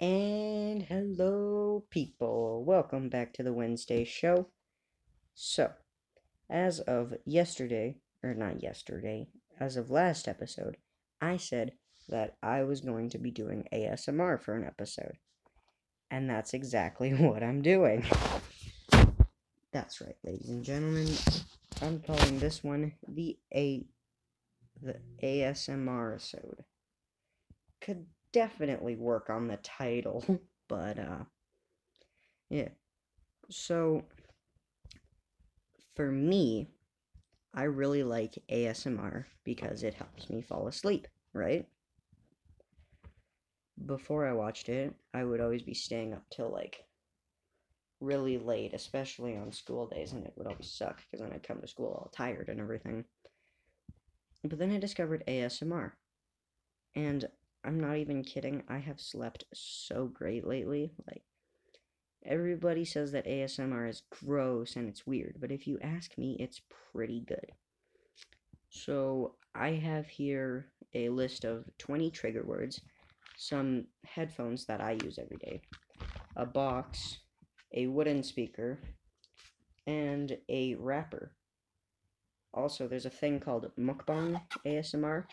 And hello, people. Welcome back to the Wednesday show. So, as of yesterday, or not yesterday, as of last episode, I said that I was going to be doing ASMR for an episode. And that's exactly what I'm doing. That's right, ladies and gentlemen. I'm calling this one the eight the ASMR episode. Could definitely work on the title, but uh yeah. So for me, I really like ASMR because it helps me fall asleep, right? Before I watched it, I would always be staying up till like really late, especially on school days, and it would always suck because then I'd come to school all tired and everything. But then I discovered ASMR. And I'm not even kidding, I have slept so great lately. Like, everybody says that ASMR is gross and it's weird, but if you ask me, it's pretty good. So, I have here a list of 20 trigger words, some headphones that I use every day, a box, a wooden speaker, and a wrapper. Also, there's a thing called mukbang ASMR,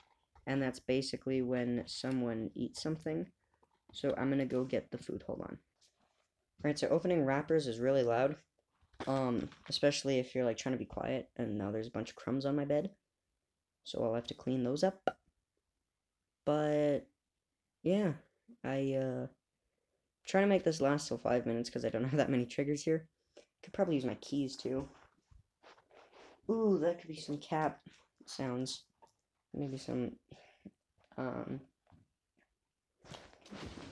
and that's basically when someone eats something. So I'm gonna go get the food. Hold on. Alright, so opening wrappers is really loud. Um, especially if you're like trying to be quiet, and now there's a bunch of crumbs on my bed. So I'll have to clean those up. But yeah, I uh trying to make this last till five minutes because I don't have that many triggers here. Could probably use my keys too. Ooh, that could be some cap sounds. Maybe some um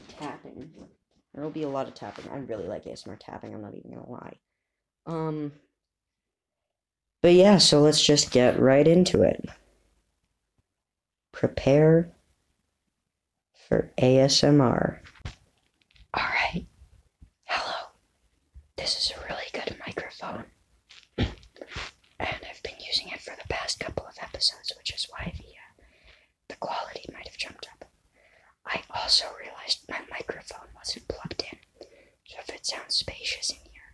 tapping. There'll be a lot of tapping. I really like ASMR tapping, I'm not even gonna lie. Um but yeah, so let's just get right into it. Prepare for ASMR. All right. Hello. This is a really good microphone. and I've been using it for the past couple of episodes, which is why the, uh, the quality might have jumped up. I also realized my microphone wasn't plugged in. So if it sounds spacious in here,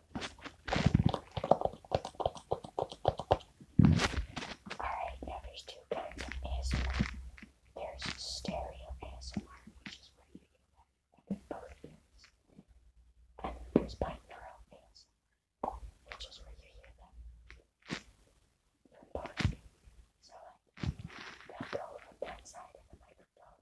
Alright, now there's two kinds of ASMR. There's stereo ASMR, which is where you get that both ears. And there's binaural ASMR, which is where you hear them from both. So they'll go from that side of the microphone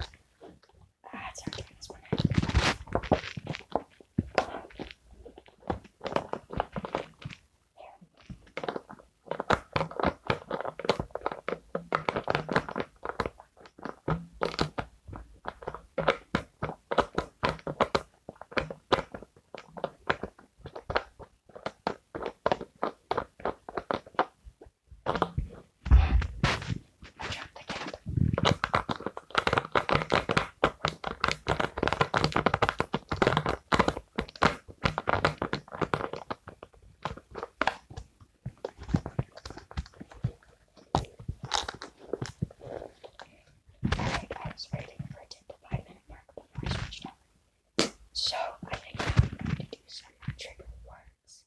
Ah, it's already on this one. Drop the cap. I, I was waiting for it to hit the five minute mark before I switched up. So I think I'm going to do some trigger words.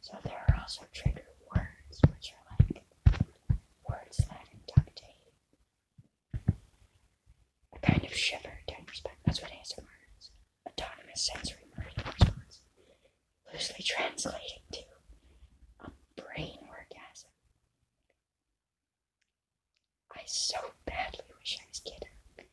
So there are also trigger words, which are like words that inductate a kind of shiver down your spine. That's what ASMR is. Autonomous sensory meridian response. Loosely translated to a brain orgasm. I so badly wish I was kidding.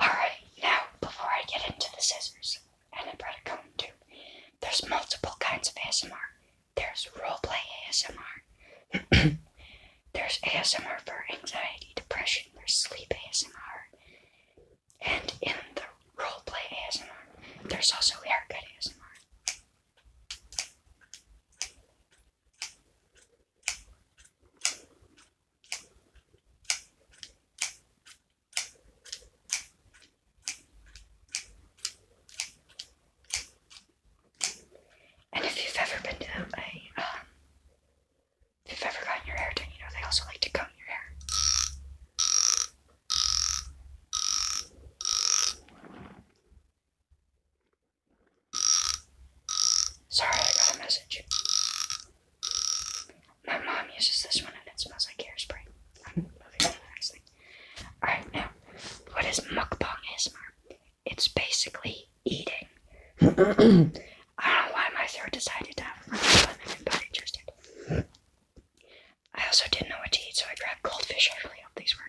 Alright, now before I get into the scissors and the bread cone too, there's multiple kinds of ASMR. There's roleplay ASMR. there's ASMR for anxiety, depression, there's sleep ASMR. And in the roleplay ASMR, there's also haircut ASMR. And if you've ever been to a, um, if you've ever gotten your hair done, you know they also like to comb your hair. Sorry, I got a message. My mom uses this one and it smells like hairspray. I'm moving on next thing. Alright, now, what is mukbang It's basically eating. I don't know why my throat decided to I also didn't know what to eat, so I grabbed goldfish. I really hope these work.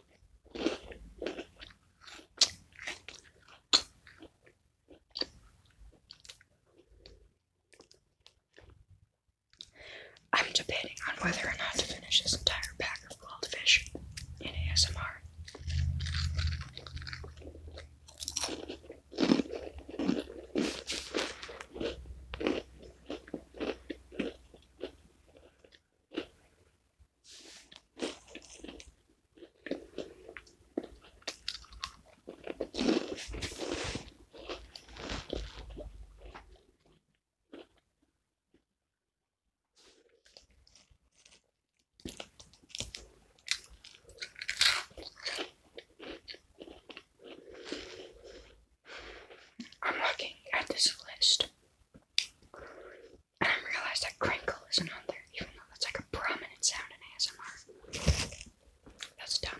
I'm debating on whether or not to finish this entire pack of goldfish fish in ASMR. I'm looking at this list I didn't realize that crinkle isn't on there, even though that's like a prominent sound in ASMR. That's dumb.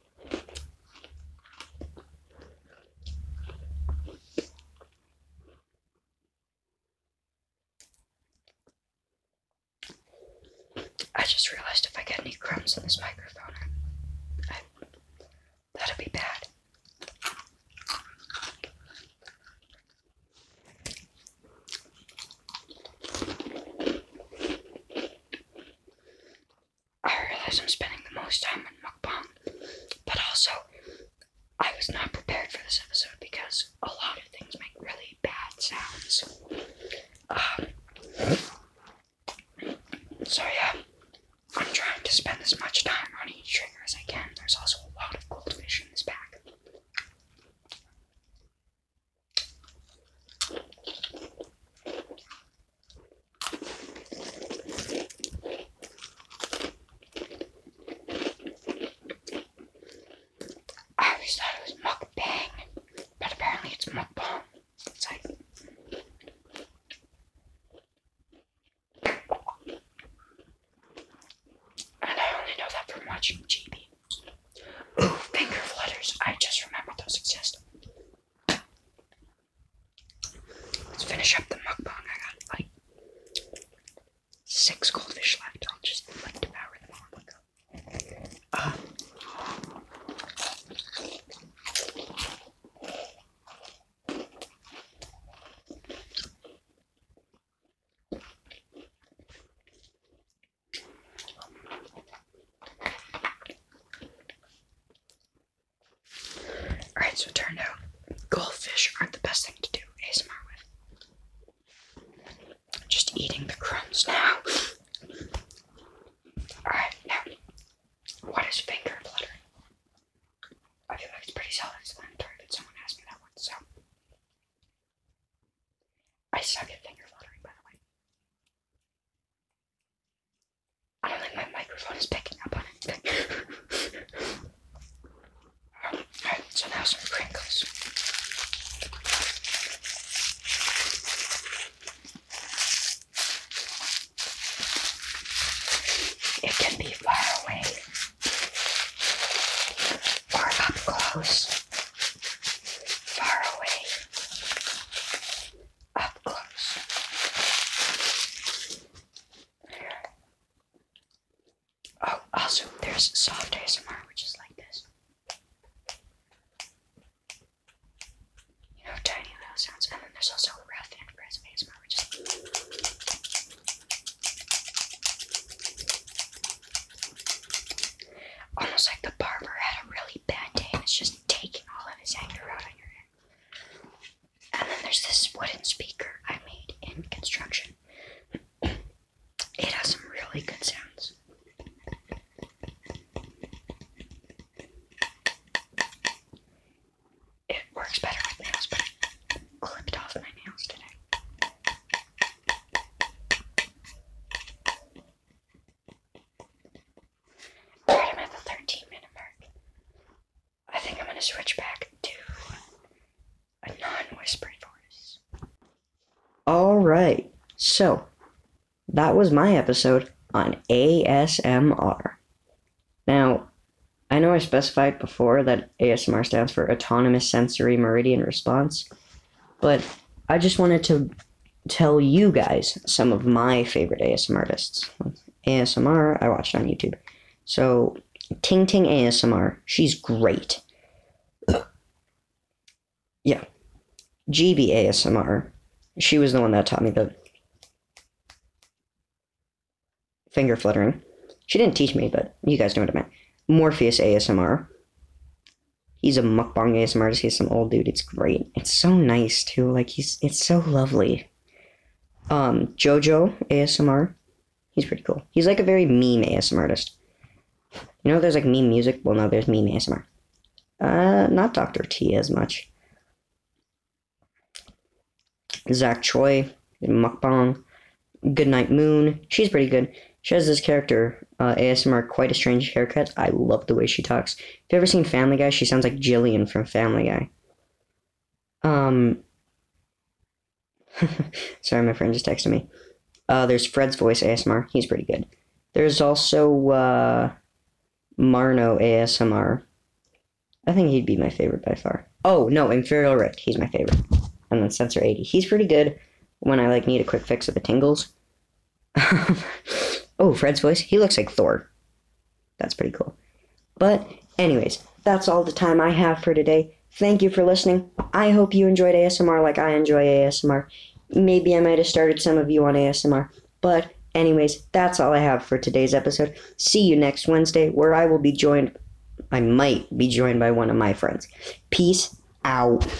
I just realized if I get any crumbs in this microphone, that would be bad. I realize I'm spending the most time on mukbang, but also I was not prepared for this episode because a lot of things make really bad sounds. Um, so yeah, I'm trying to spend as much time on each trigger as I can. There's also a lot of goldfish in this pack. I always thought it was mukbang, but apparently it's mukbang. It's like. And I only know that from watching GB. Ooh, finger flutters. I just remembered those exist. Let's finish up the mukbang. I got like six goldfish left. I'll just like devour them all in one go. Alright, so it turned out goldfish aren't the best thing to do ASMR with. Just eating the crumbs now. Alright, now, what is finger fluttering? I feel like it's pretty self explanatory, but someone asked me that once, so. I suck at finger fluttering, by the way. I think my microphone is picking up on anything. Alright, so now some crinkles. It can be far away or up close. Far away up close. Oh, also, there's soft ASMR, which is like this. You know, tiny little sounds. And then there's also rough and crisp ASMR, which is like Almost like the barber had a really a band and it's just taking all of his anger out on your head. And then there's this wooden speaker I made in construction. It has some really good sounds. It works better with nails, but I clipped off my nails today. I'm at the 13 minute mark. I think I'm going to switch back to a non whispered voice. All right. So, that was my episode on ASMR. Now, I know I specified before that ASMR stands for Autonomous Sensory Meridian Response, but I just wanted to tell you guys some of my favorite ASMR artists. ASMR I watched on YouTube. So Ting Ting ASMR, she's great. yeah. GB ASMR, she was the one that taught me the finger fluttering. She didn't teach me, but you guys know what I mean. Morpheus ASMR he's a mukbang ASMR artist. He's some old dude. It's great. It's so nice too. Like he's it's so lovely. Um, Jojo ASMR. He's pretty cool. He's like a very meme ASMR artist. You know, there's like meme music. Well, no, there's meme ASMR. Uh, not Doctor T as much. Zach Choi, Mukbang, Goodnight Moon. She's pretty good. She has this character, uh, ASMR, quite a strange haircut. I love the way she talks. If you've ever seen Family Guy, she sounds like Jillian from Family Guy. Um. Sorry, my friend just texted me. Uh, there's Fred's voice ASMR. He's pretty good. There's also uh, Marno ASMR. I think he'd be my favorite by far. Oh no, Inferior Rick. He's my favorite. And then Sensor 80. He's pretty good when I like need a quick fix of the tingles. oh, Fred's voice. He looks like Thor. That's pretty cool. But, anyways, that's all the time I have for today. Thank you for listening. I hope you enjoyed ASMR like I enjoy ASMR. Maybe I might have started some of you on ASMR. But, anyways, that's all I have for today's episode. See you next Wednesday, where I will be joined. I might be joined by one of my friends. Peace out.